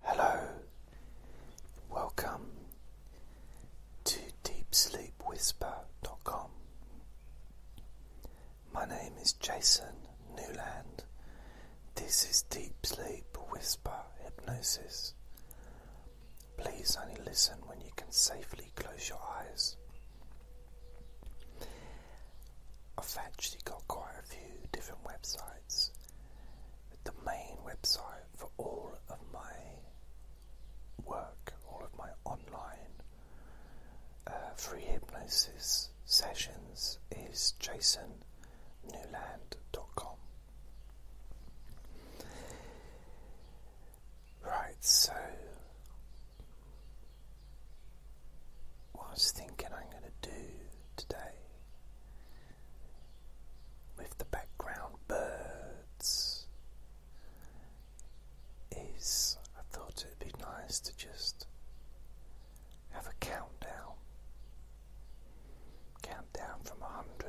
Hello, welcome to DeepSleepWhisper.com. My name is Jason Newland. This is Deep Sleep Whisper Hypnosis. Please only listen when you can safely close your eyes. I've actually got quite a few different websites the main website for all of my work, all of my online uh, free hypnosis sessions is jasonnewland.com. Right, so what I was thinking I'm going to do today with the background birds is I thought it would be nice to just have a countdown. Countdown from 100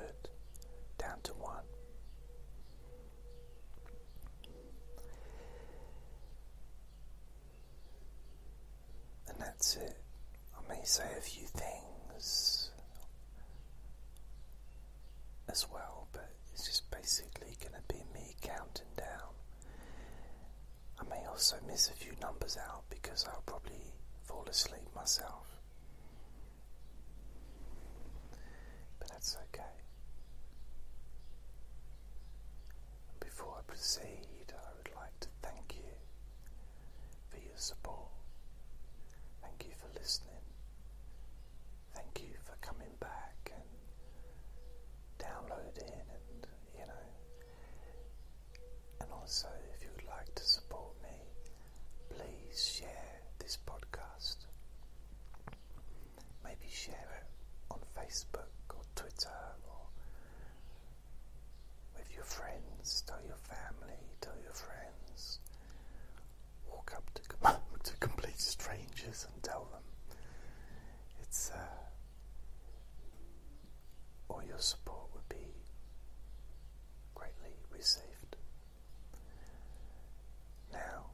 down to 1 and that's it. I may say a few things as well, but it's just basically going to be me counting down. I may also miss a few numbers out because I'll probably fall asleep myself. But that's okay. Before I proceed, I would like to thank you for your support. Thank you for listening. Thank you for coming back and downloading and, you know. And also, if you would like to support me, please share this podcast. Maybe share it on Facebook or Twitter or with your friends, tell your family, tell your friends. Walk up to, complete strangers and tell them. It's, uh, all your support would be greatly received. Now,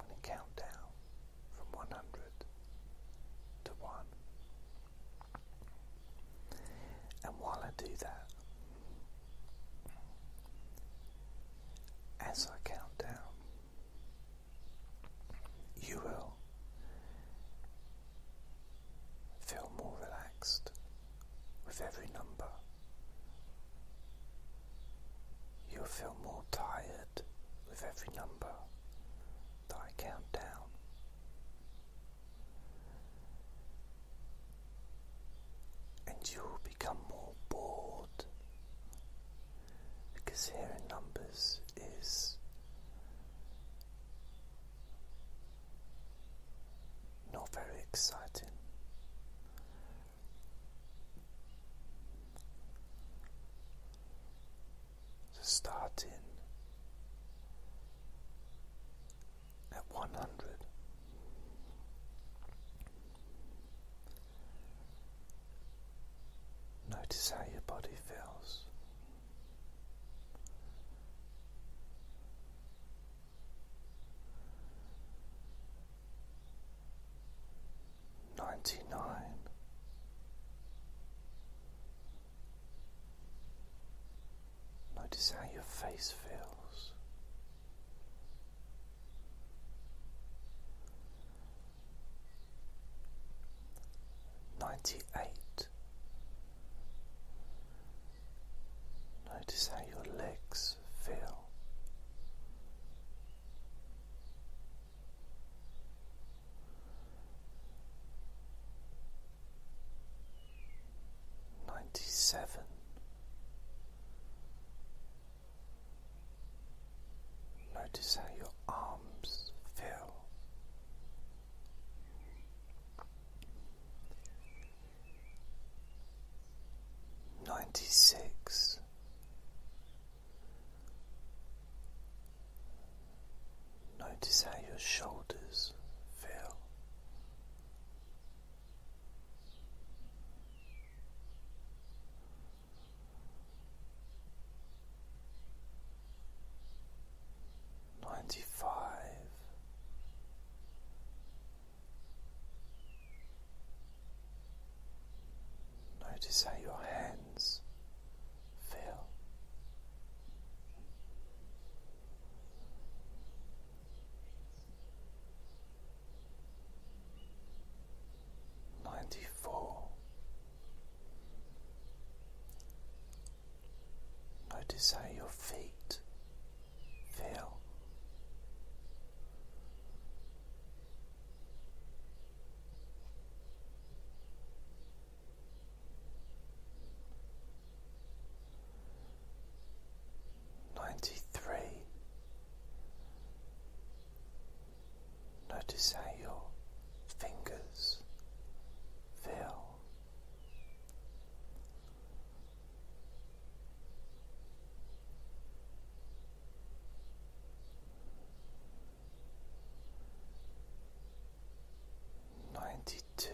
I'm going to count down from 100 to 1. And while I do that, as I count down, you will feel more relaxed with every number. You'll feel more tired with every number that I count down and you will become more bored because hearing numbers is not very exciting. So in at one hundred. Notice how your body feels. Ninety nine. Notice how your face feels. Ninety eight. Notice how your legs feel ninety seven. Notice how your arms feel. Ninety six, notice how your shoulders feel. Ninety five. Notice how your hands feel. Ninety four. Notice how your feet feel. Ninety three. Notice how your fingers feel. Ninety two.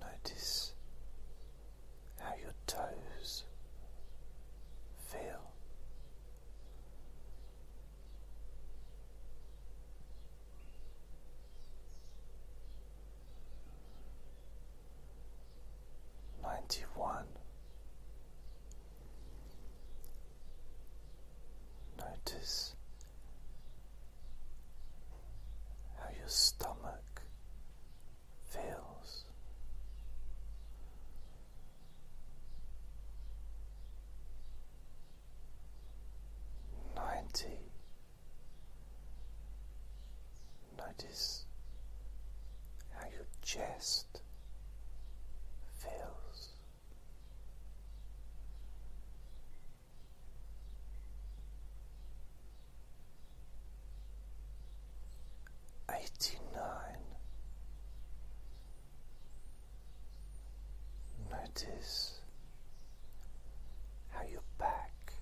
Notice how your toes feel. Ninety one. Notice how your stomach feels. Ninety. Notice how your chest feels Eighty nine. Notice how your back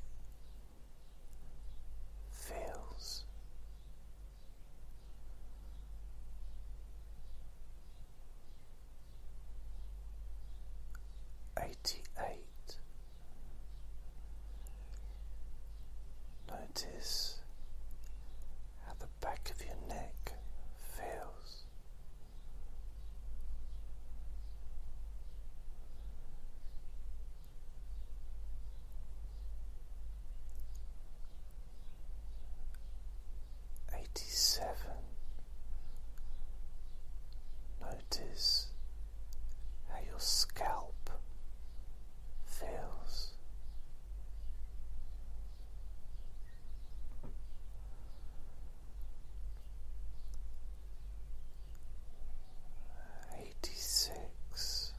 feels eighty eight. Notice how the back of your neck feels eighty seven. Notice how your scalp feels. Eighty six.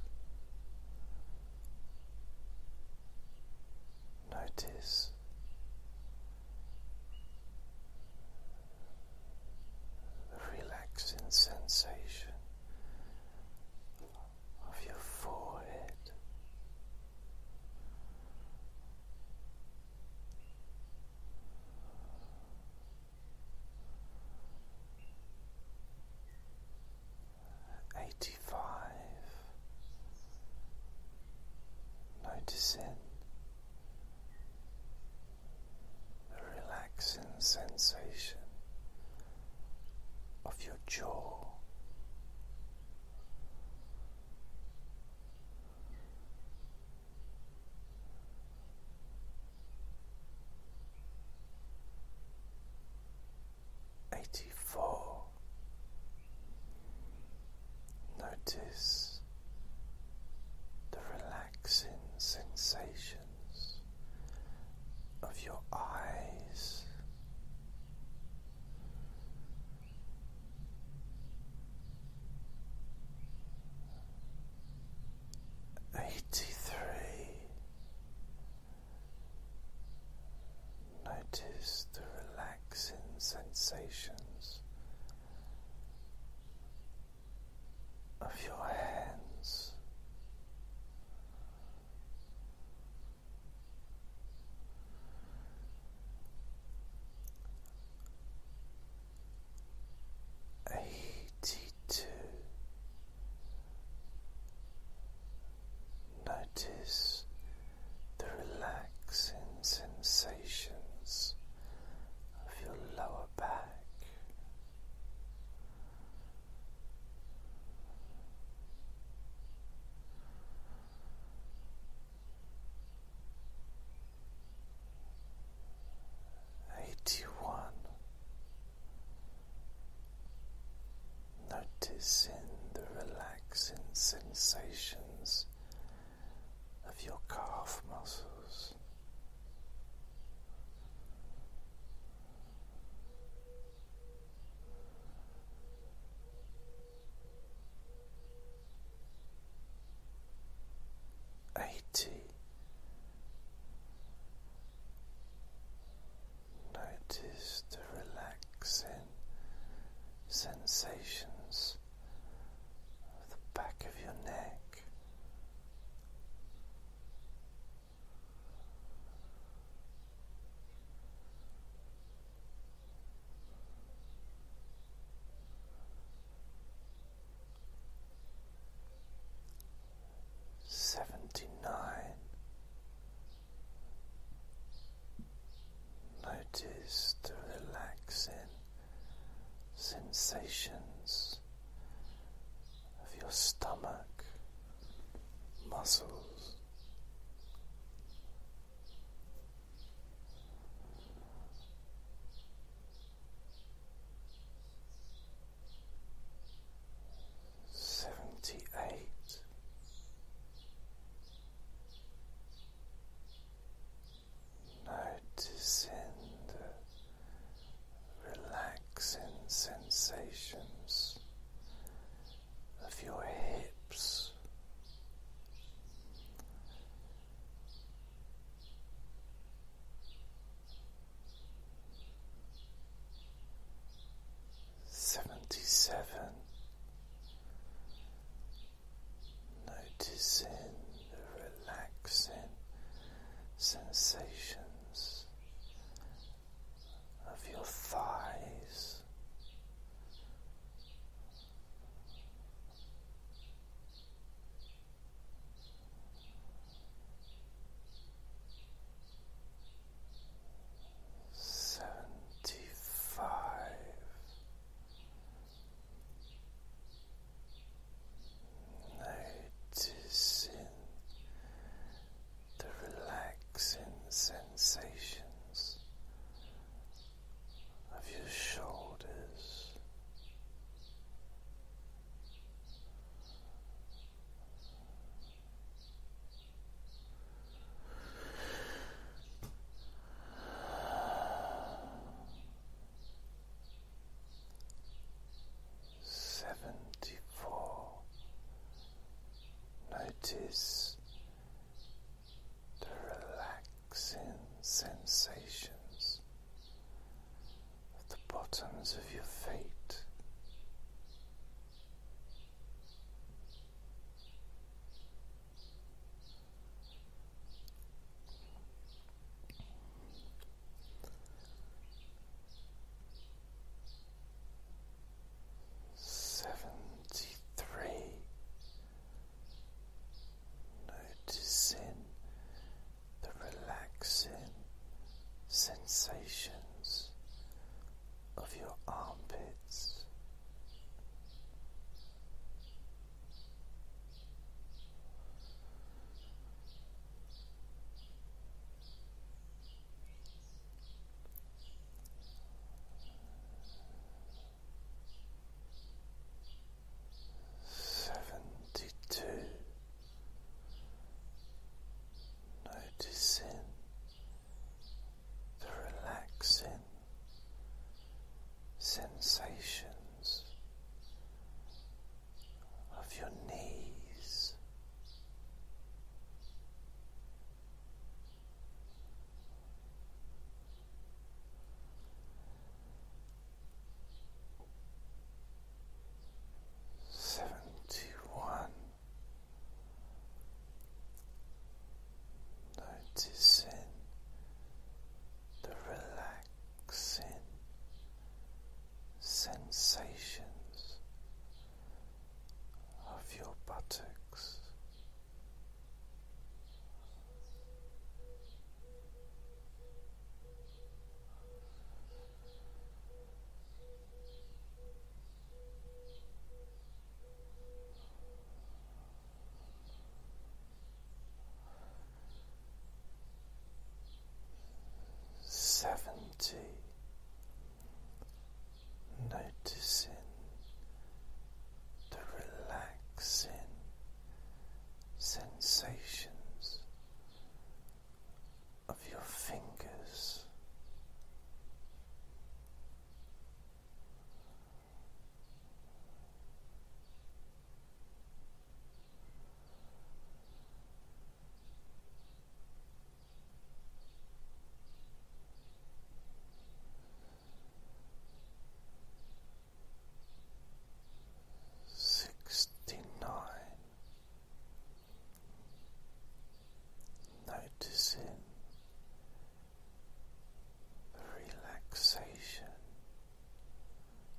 Notice the relaxing sensation of your forehead. Eighty five, noticing a relaxing sensation of your jaw. Eighty four Notice the relaxing sensations of your eyes. Eighty three. Notice the relaxing sensations of your hands. Eighty two. Notice the relaxing sensations of your lower back. Eighty one noticing the relaxing sensations of your calf muscles. Eighty. Notice the relaxing sensations the back of your neck. Seventy nine, Notice the relaxing sensations of your stomach, muscles. Seventy eight noticing the relaxing sensations of your hips. Seventy seven, noticing the relaxing sensations of your thighs. Seventy five, Noticing the relaxing sensations of your shoulders, Seventy four. Notice the relaxing sensations at the bottoms of your feet. Seventy three, noticing the relaxing sensations of your armpits. Seventy two, noticing the relaxing sensations of your knees, seventy one. Noticing the relaxing sensations of your buttocks seventy, noticing the relaxing sensations of your fingers. Sixty nine. Noticing the relaxation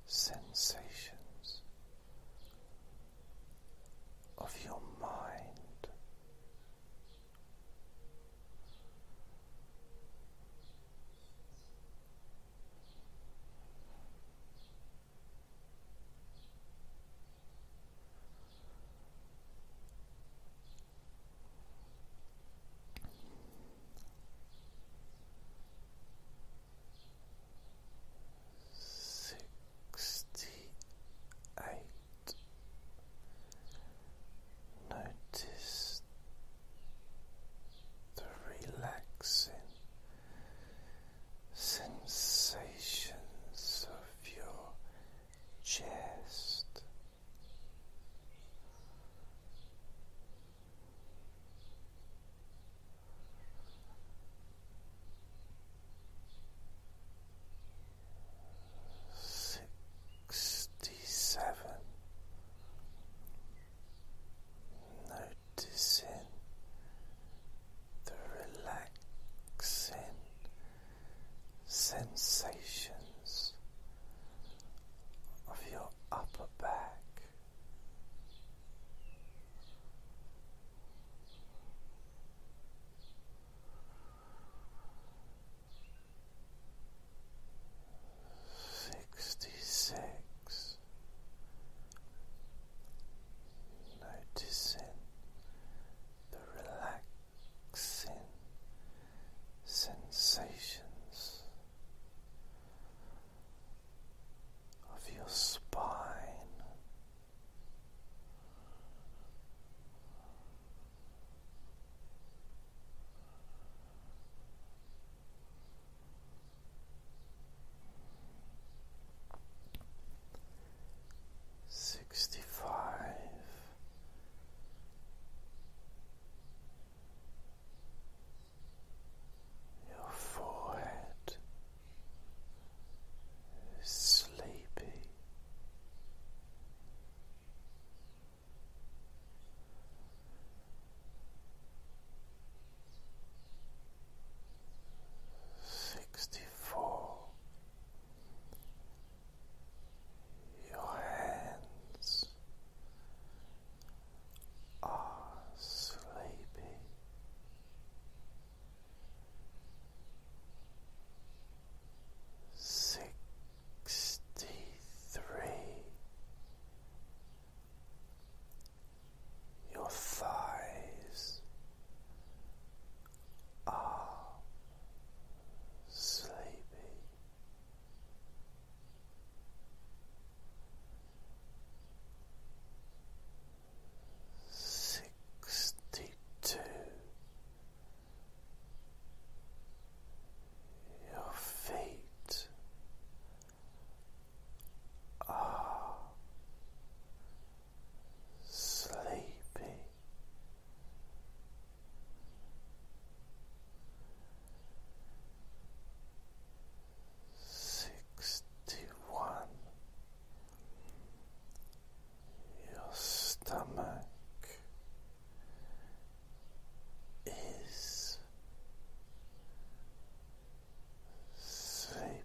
sensations of your mind sixty-eight. Notice the relaxing sensations of your chest. Sixty-seven. Noticing the relaxing sensations of your your upper back. Sixty six, noticing the relaxing sensations of your spine. Sixty five. Your forehead is sleepy. Sixty four. Your hands are sleepy. Sixty three, your thighs are sleepy sixty two. Your feet are sleepy sixty one your stomach is sleepy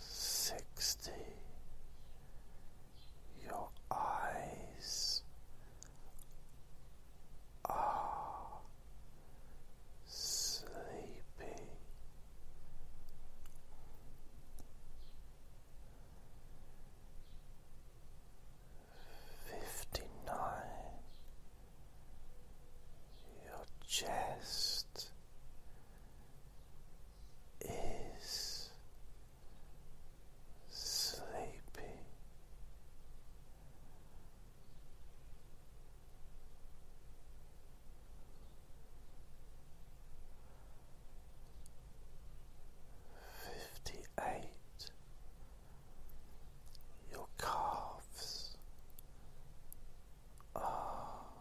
sixty. Your eyes are sleepy. Fifty nine. Your chest is sleepy. Fifty eight, your calves are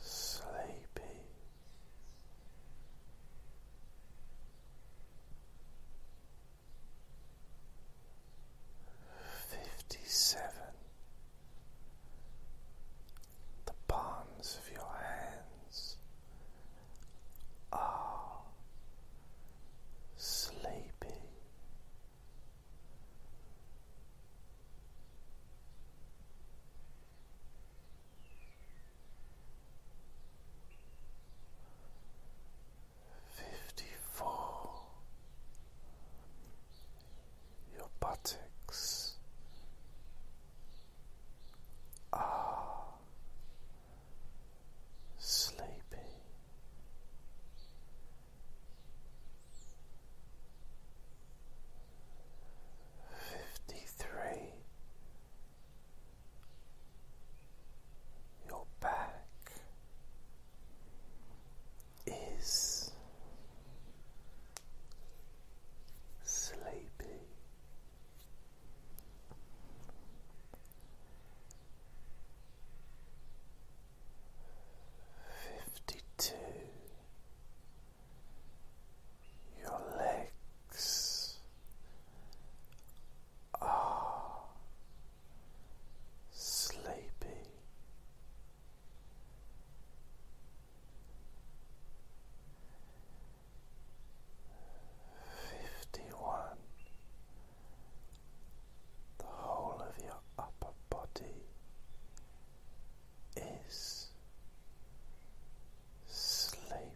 sleepy. Fifty seven. The palms of your hands are sleepy. Fifty four your buttocks are sleepy. Fifty three, your back is sleepy fifty two your legs are sleepy. Fifty one, the whole of your upper body is sleeping.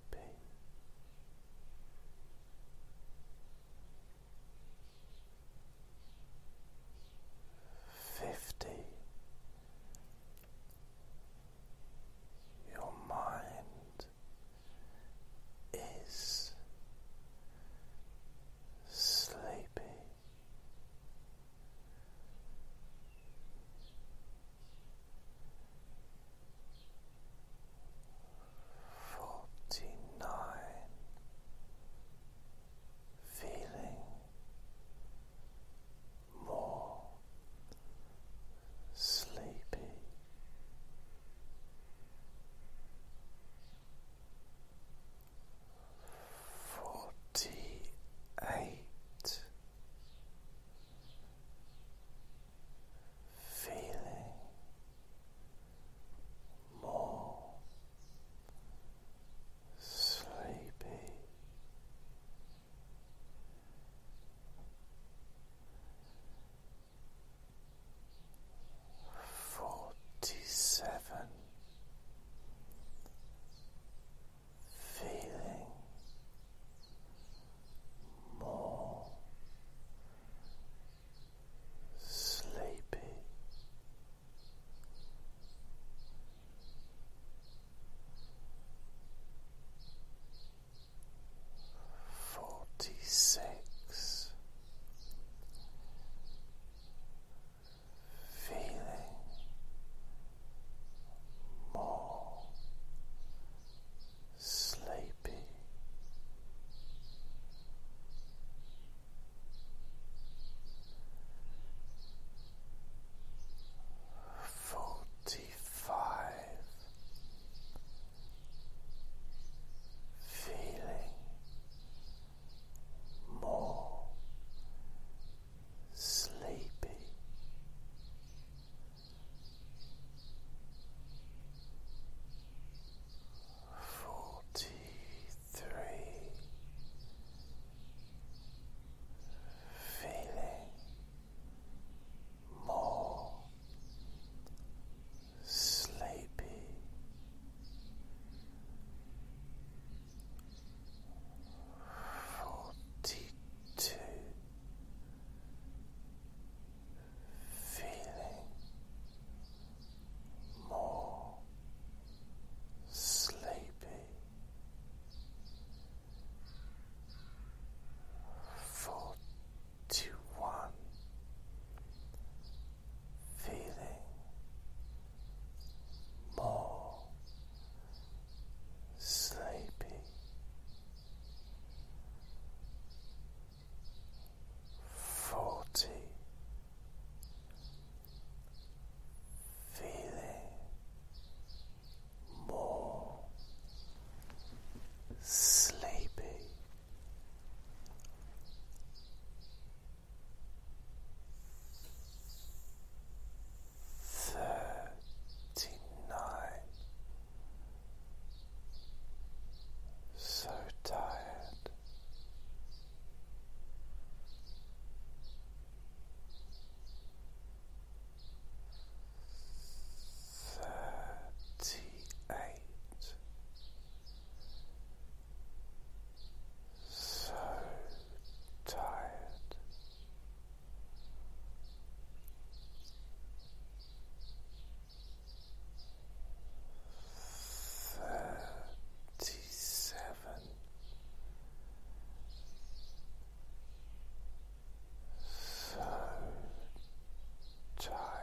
Fifty. Your mind is sleepy. Forty nine, feeling more sleepy. Forty-eight, feeling more sleepy. Forty seven feeling more sleepy. Forty six, feeling more sleepy. Forty five feeling more sleepy. Forty three feeling more sleepy forty two feeling more sleepy forty one feeling more sleepy, forty, feeling more sleepy thirty nine. So tired. Thirty eight so tired. Thirty seven, so tired.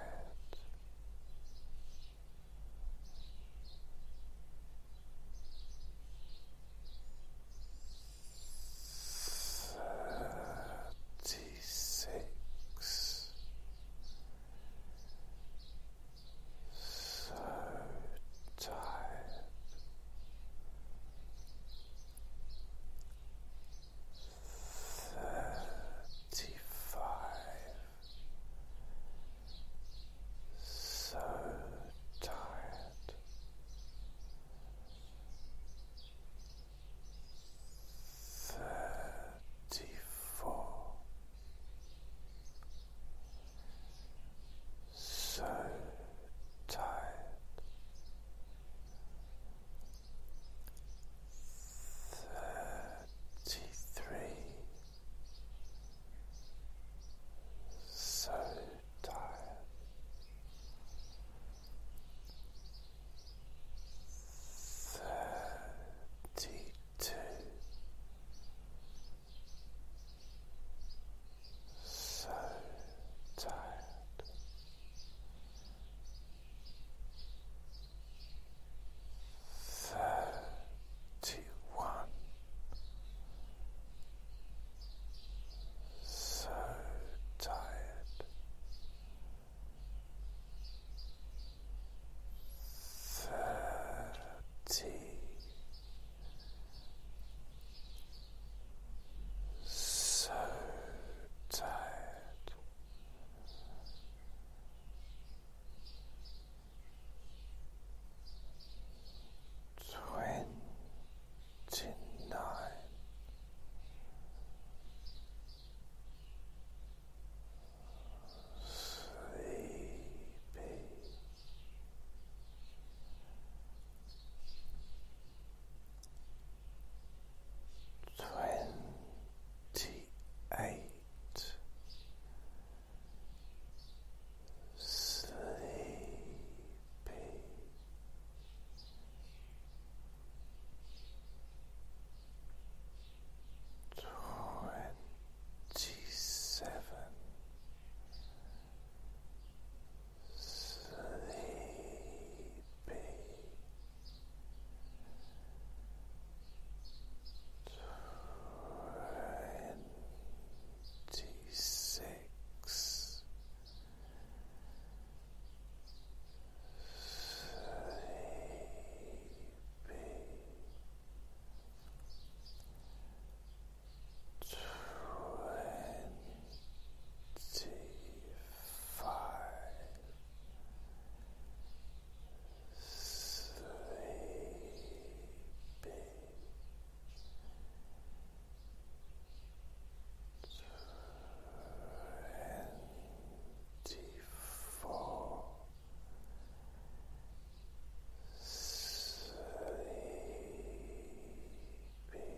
Thirty-six, so tired, thirty-five, so tired. Thirty four. So tired. Thirty three. So tired. Thirty two. So tired. Thirty one so tired, thirty. So tired, twenty nine. Sleepy. Twenty eight. Sleepy be. Twenty seven sleepy twenty six six, sleepy, twenty-five, Twenty four sleepy twenty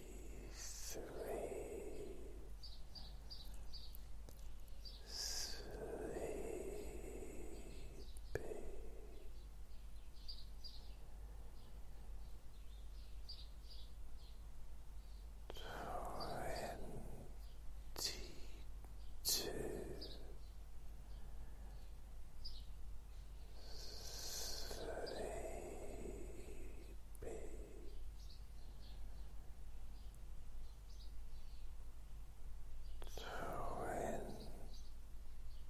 three, sleepy. Twenty-two, sleepy.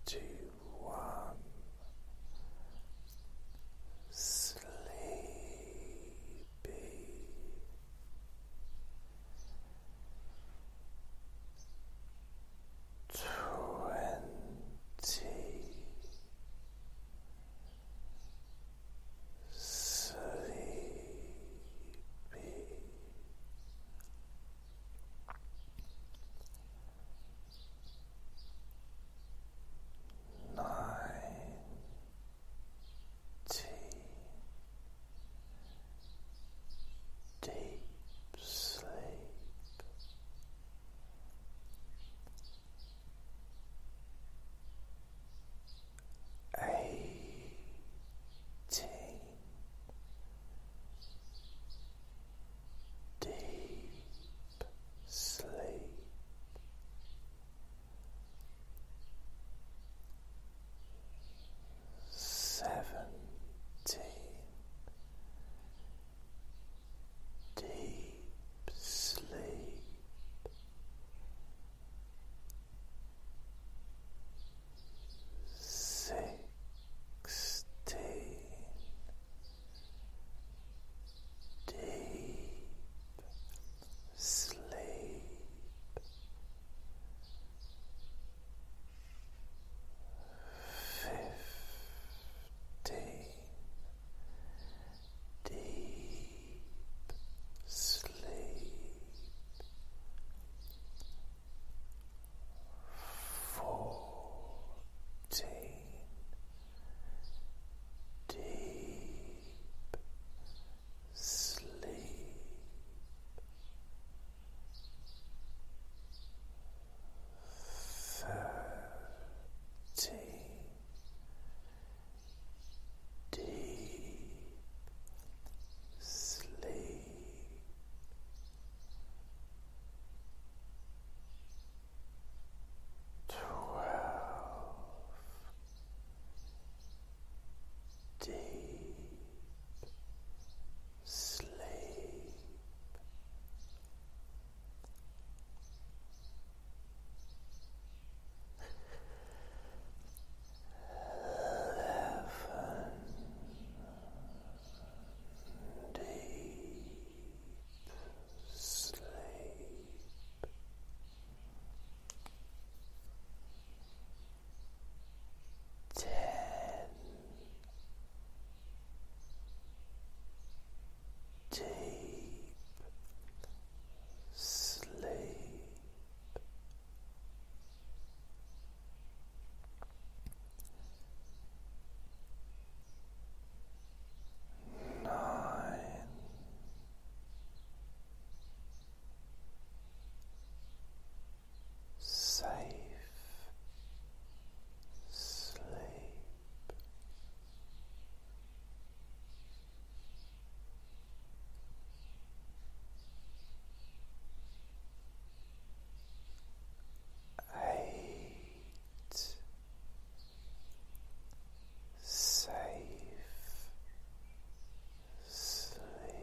Twenty one sleepy twenty sleepy. Ninety deep sleep eighteen deep sleep seventeen deep sleep sixteen deep sleep fifteen deep sleep fourteen deep sleep thirteen deep sleep. Twelve deep sleep, Eleven deep sleep. Ten deep sleep. Nine. Safe sleep. Eight safe sleep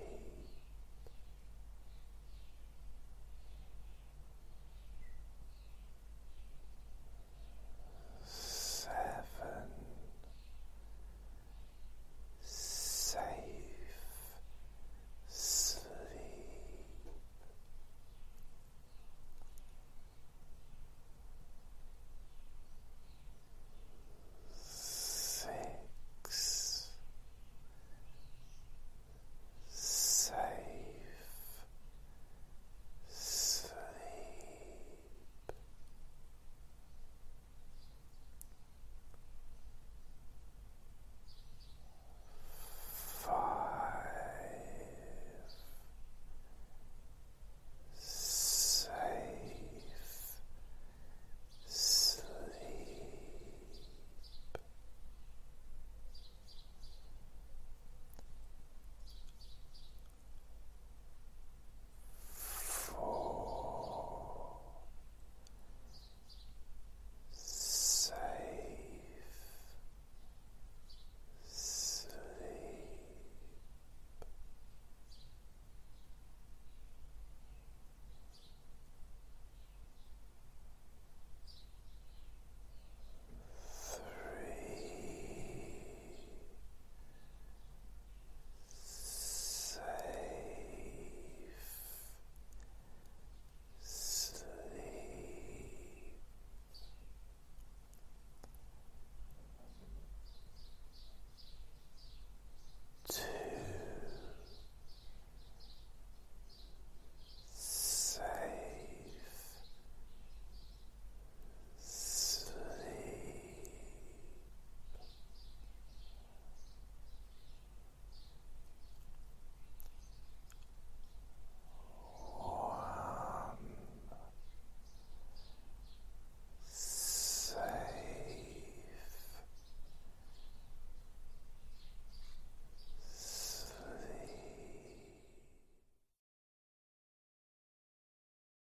seven, safe sleep. Six safe sleep Five safe sleep four, safe sleep. Three, Save. sleep. Two safe Sleep. One safe sleep.